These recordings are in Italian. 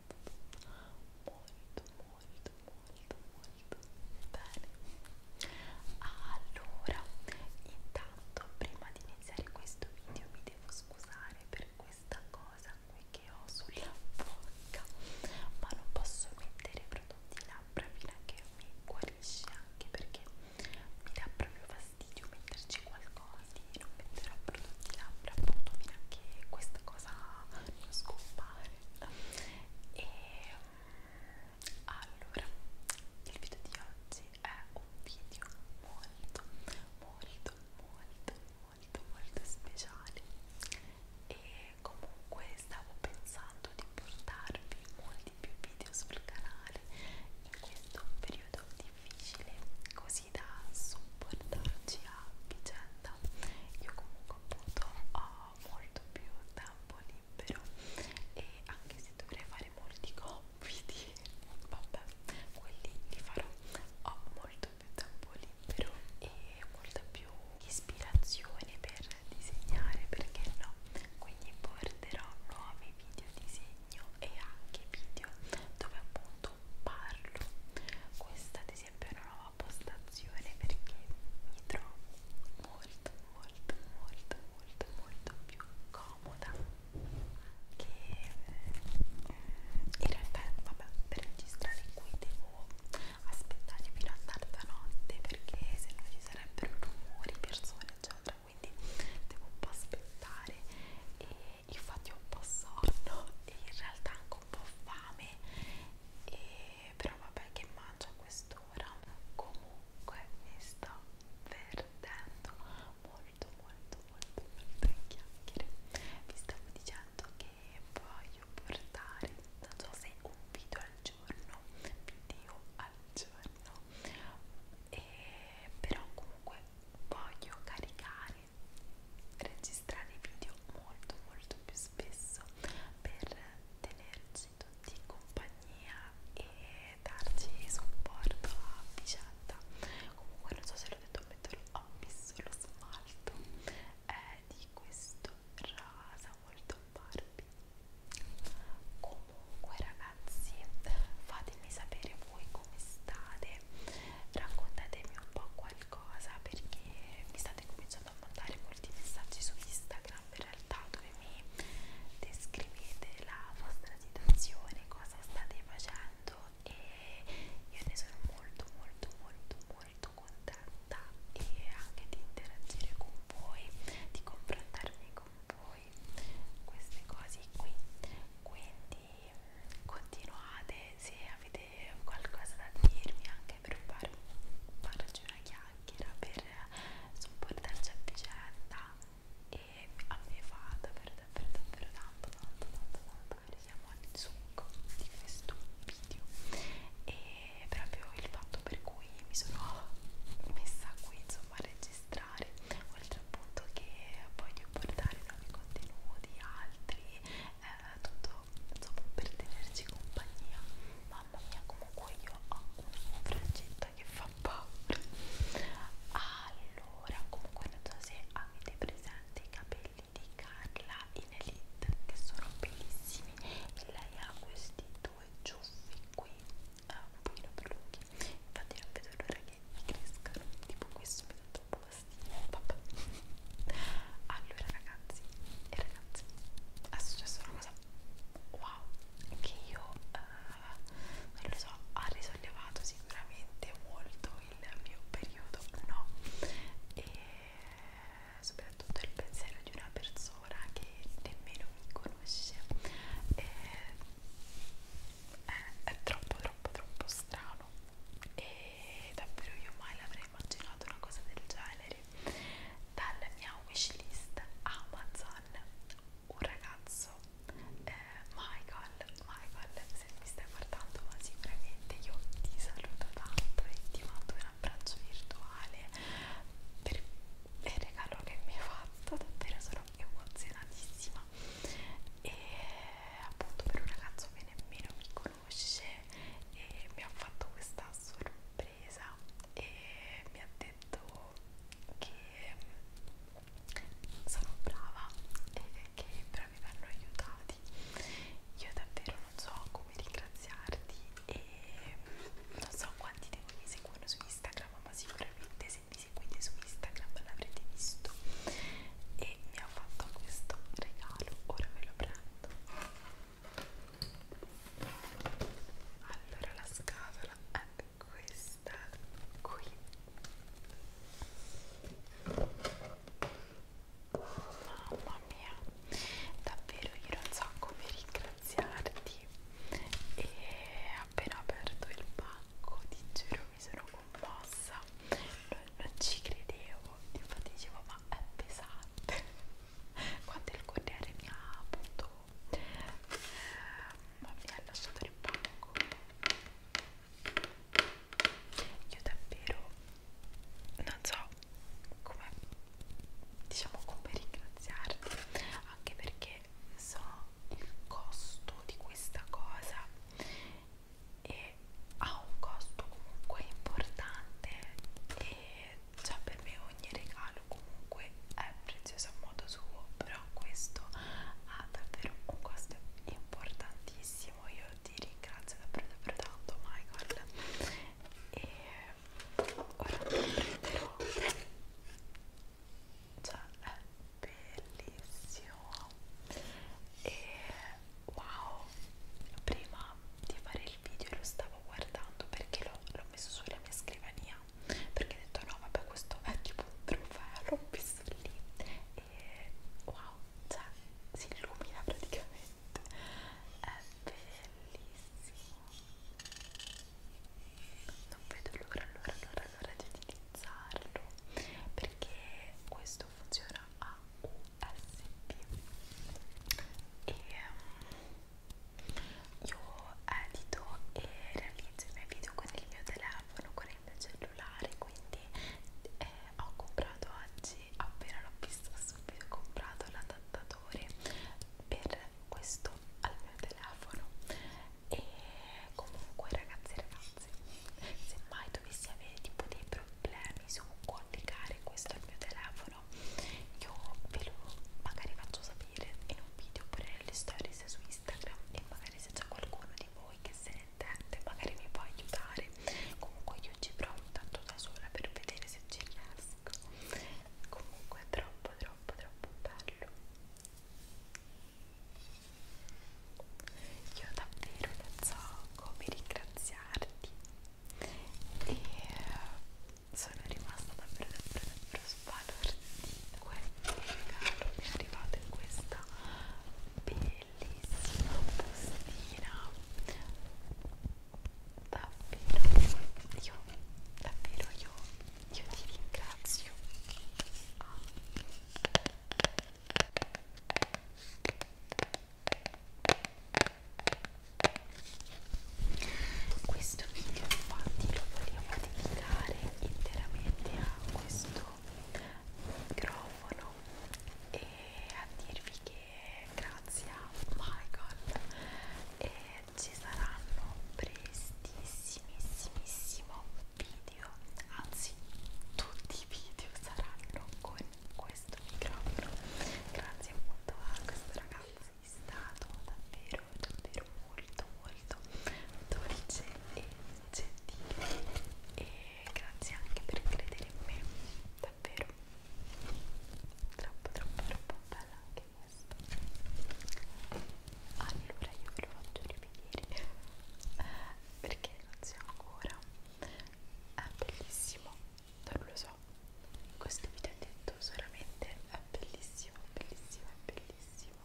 molto molto molto molto bene allora intanto prima di iniziare questo video mi devo scusare per questa cosa qui che ho sulla bocca ma non posso mettere prodotti labbra fino a che mi guarisce anche perché mi dà proprio fastidio metterci qualcosa propositi non metterò prodotti labbra appunto fino a che questa cosa non scompare e mm, allora il video di oggi è un video molto molto molto molto molto speciale e comunque stavo pensando di portarvi molti più video sul canale in questo periodo difficile così così da supportarci a vicenda io comunque appunto ho molto più tempo libero e anche se dovrei fare molti compiti vabbè quelli li farò ho molto più tempo libero e molta più ispirazione per disegnare perché no quindi porterò nuovi video disegni disegno e anche video dove appunto parlo questa ad esempio è una nuova postazione perché mi trovo molto molto molto molto molto più comoda che eh, in realtà vabbè per registrare qui devo aspettare fino a tarda notte perché se no ci sarebbero rumori persone eccetera quindi devo un po' aspettare e infatti ho un po' sonno e in realtà anche un po' fame e però vabbè che mangio a quest'ora comunque mi sto perdendo molto molto molto molto in chiacchiere vi stavo dicendo che voglio portare non so se un video al giorno video al giorno e però comunque voglio caricare, registrare video molto molto più spesso per tenerci tutti in compagnia e darci supporto a vicenda. Comunque non so se l'ho detto, metto, ho messo lo smalto eh, di questo rasa molto Barbie. Comunque ragazzi ragazzi fatemi sapere voi come state raccontatemi un po' qualcosa perché mi state cominciando a mandare molti messaggi su Instagram in realtà dove mi descrivete la vostra situazione cosa state facendo e io ne sono molto molto molto molto contenta e anche di interagire con voi di confrontarmi con voi voi queste cose qui quindi continuate se avete qualcosa da dirmi anche per far, farci una chiacchiera per supportarci a vicenda e a me fa davvero davvero davvero tanto tanto tanto tanto che siamo al succo di questo video e proprio il fatto per cui mi sono messa qui insomma a registrare oltre appunto che voglio portare nuovi contenuti altri eh, tutto insomma per tenerci compagnia mamma mia comunque io ho una frangetta che fa paura allora comunque non so se avete presente i capelli di Carla in Elite che sono bellissimi e lei ha questi due ciuffi qui eh, un pochino più lunghi infatti non vedo l'ora che crescano tipo questo mi dà troppo fastidio vabbè allora ragazzi e ragazzi è successa una cosa wow che io eh, non lo so ha risollevato sicuramente molto il mio periodo no e soprattutto il pensiero di una persona che nemmeno mi conosce eh, è, eh, è troppo troppo troppo strano e davvero io mai l'avrei immaginato una cosa del genere dalla mia wishlist Amazon un ragazzo eh, Michael Michael se mi stai guardando ma sicuramente io ti saluto tanto e ti mando un abbraccio virtuale per il regalo che mi hai fatto davvero sono emozionatissima e appunto per un ragazzo che nemmeno mi conosce e mi ha fatto questa sorpresa e mi ha detto che mm, sono brava e che i bravi vanno aiutati io davvero non so come ringraziarti e mm, non so quanti di voi mi seguono su Instagram ma sicuramente se mi seguite su Instagram l'avrete visto e mi ha fatto questo regalo ora ve lo prendo allora la scatola è questa qui mamma mia davvero io non so come ringraziarti e appena aperto il pacco ti giuro mi sono commossa non, non ci credevo infatti dicevo ma è pesante quando il corriere mi ha appunto eh, mi ha lasciato nel pacco io davvero non so come diciamo come ringraziarti anche perché so il costo di questa cosa e ha un costo comunque importante e cioè per me ogni regalo comunque è prezioso a modo suo però questo ha davvero un costo importantissimo io ti ringrazio davvero davvero tanto Michael e ora prenderò cioè è bellissimo e wow prima di fare il video lo stavo guardando perché l'ho messo sulla mia scrivania perché ho detto no vabbè questo vecchio trofeo l'ho messo lì e wow cioè si illumina praticamente è bellissimo non vedo l'ora, l'ora, l'ora, l'ora di utilizzarlo perché questo funziona a USB e ehm, io edito e realizzo i miei video con il mio telefono, con il mio cellulare quindi eh, ho comprato oggi, appena l'ho vista subito, ho comprato l'adattatore per questo al mio telefono e comunque ragazzi e ragazze se mai dovessi avere tipo dei problemi su collegare questo al mio telefono io ve lo magari faccio sapere in un video oppure nelle stories su Instagram e magari se c'è qualcuno di voi che se ne intende magari mi può aiutare comunque io ci provo tanto da sola per vedere se ci riesco comunque però troppo troppo troppo bello io davvero non so come ringraziarti e eh, sono rimasta davvero davvero davvero sbalordita questo regalo mi è arrivato in questa bellissima bustina davvero io davvero io io ti ringrazio questo video infatti lo volevo dedicare interamente a questo microfono e a dirvi che grazie a Michael e ci saranno prestissimissimissimo video anzi tutti i video saranno con questo microfono grazie appunto a questo ragazzo è stato davvero davvero molto molto dolce e gentile e grazie anche per credere in me davvero troppo troppo troppo bella anche questa allora io ve lo faccio rivedere perché non si ancora è bellissimo non lo so questo video è detto solamente è bellissimo bellissimo è bellissimo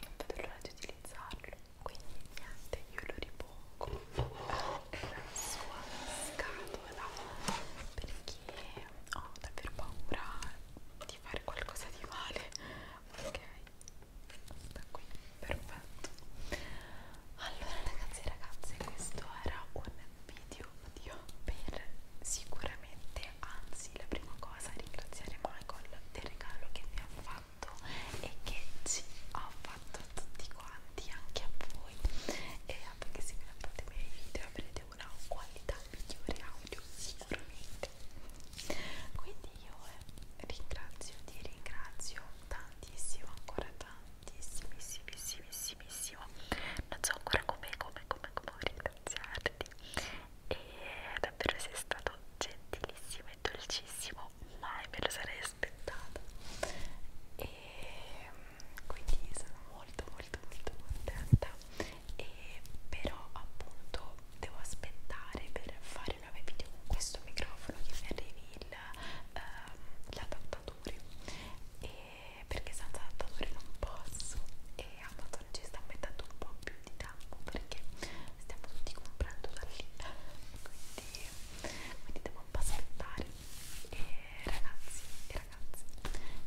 non vedo l'ora di utilizzarlo quindi niente io lo ripongo è la sua scatola perché ho davvero paura di fare qualcosa di male ok sta qui perfetto allora ragazzi e ragazze questo era un video video per sicuramente anzi la prima cosa ringraziare Michael del regalo che mi ha fatto e che ci ha fatto fatto a tutti quanti, anche a voi e perché se vi guardate i miei video avrete una qualità migliore audio sicuramente quindi io eh, ringrazio ti ringrazio tantissimo ancora tantissimissimissimo non so ancora come come come come ringraziarti e davvero sei stato gentilissimo e dolcissimo mai me lo sarei aspettata e mm, quindi sono molto molto molto contenta e però appunto devo aspettare per fare nuovi video con questo microfono che mi arrivi ehm, l'adattatore um, perché senza adattatore non posso e Amazon ci sta mettendo un po' più di tempo perché stiamo tutti comprando da lì quindi serie quindi devo un po' aspettare e ragazzi e ragazze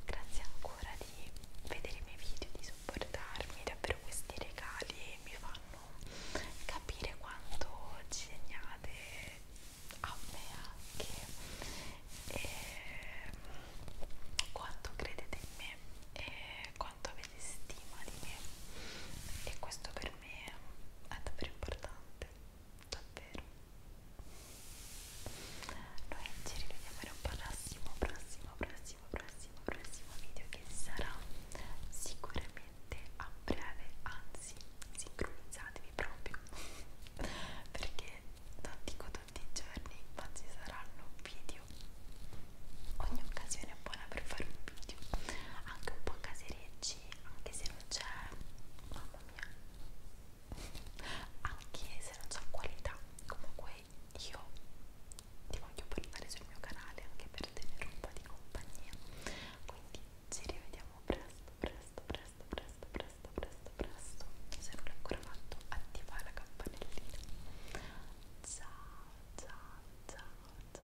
grazie ancora di vedere i miei video di supportarmi davvero questi regali mi fanno capire quanto ci segnate a me anche e mm, quanto credete in me e quanto avete stima di me e questo per me è davvero importante, davvero. Noi ci rivediamo in un prossimo, prossimo, prossimo, prossimo, prossimo video che sarà sicuramente a breve, anzi sincronizzatevi proprio perché non dico tutti i giorni ma ci saranno video ogni occasione è buona per fare un video anche un po' casereggio oggi anche se non c'è mamma mia anche se non c'è qualità comunque io ti voglio portare sul mio canale anche per tenere un po' di compagnia quindi ci rivediamo presto presto presto presto presto presto presto se non l'hai ancora fatto attiva la campanellina ciao ciao ciao, ciao.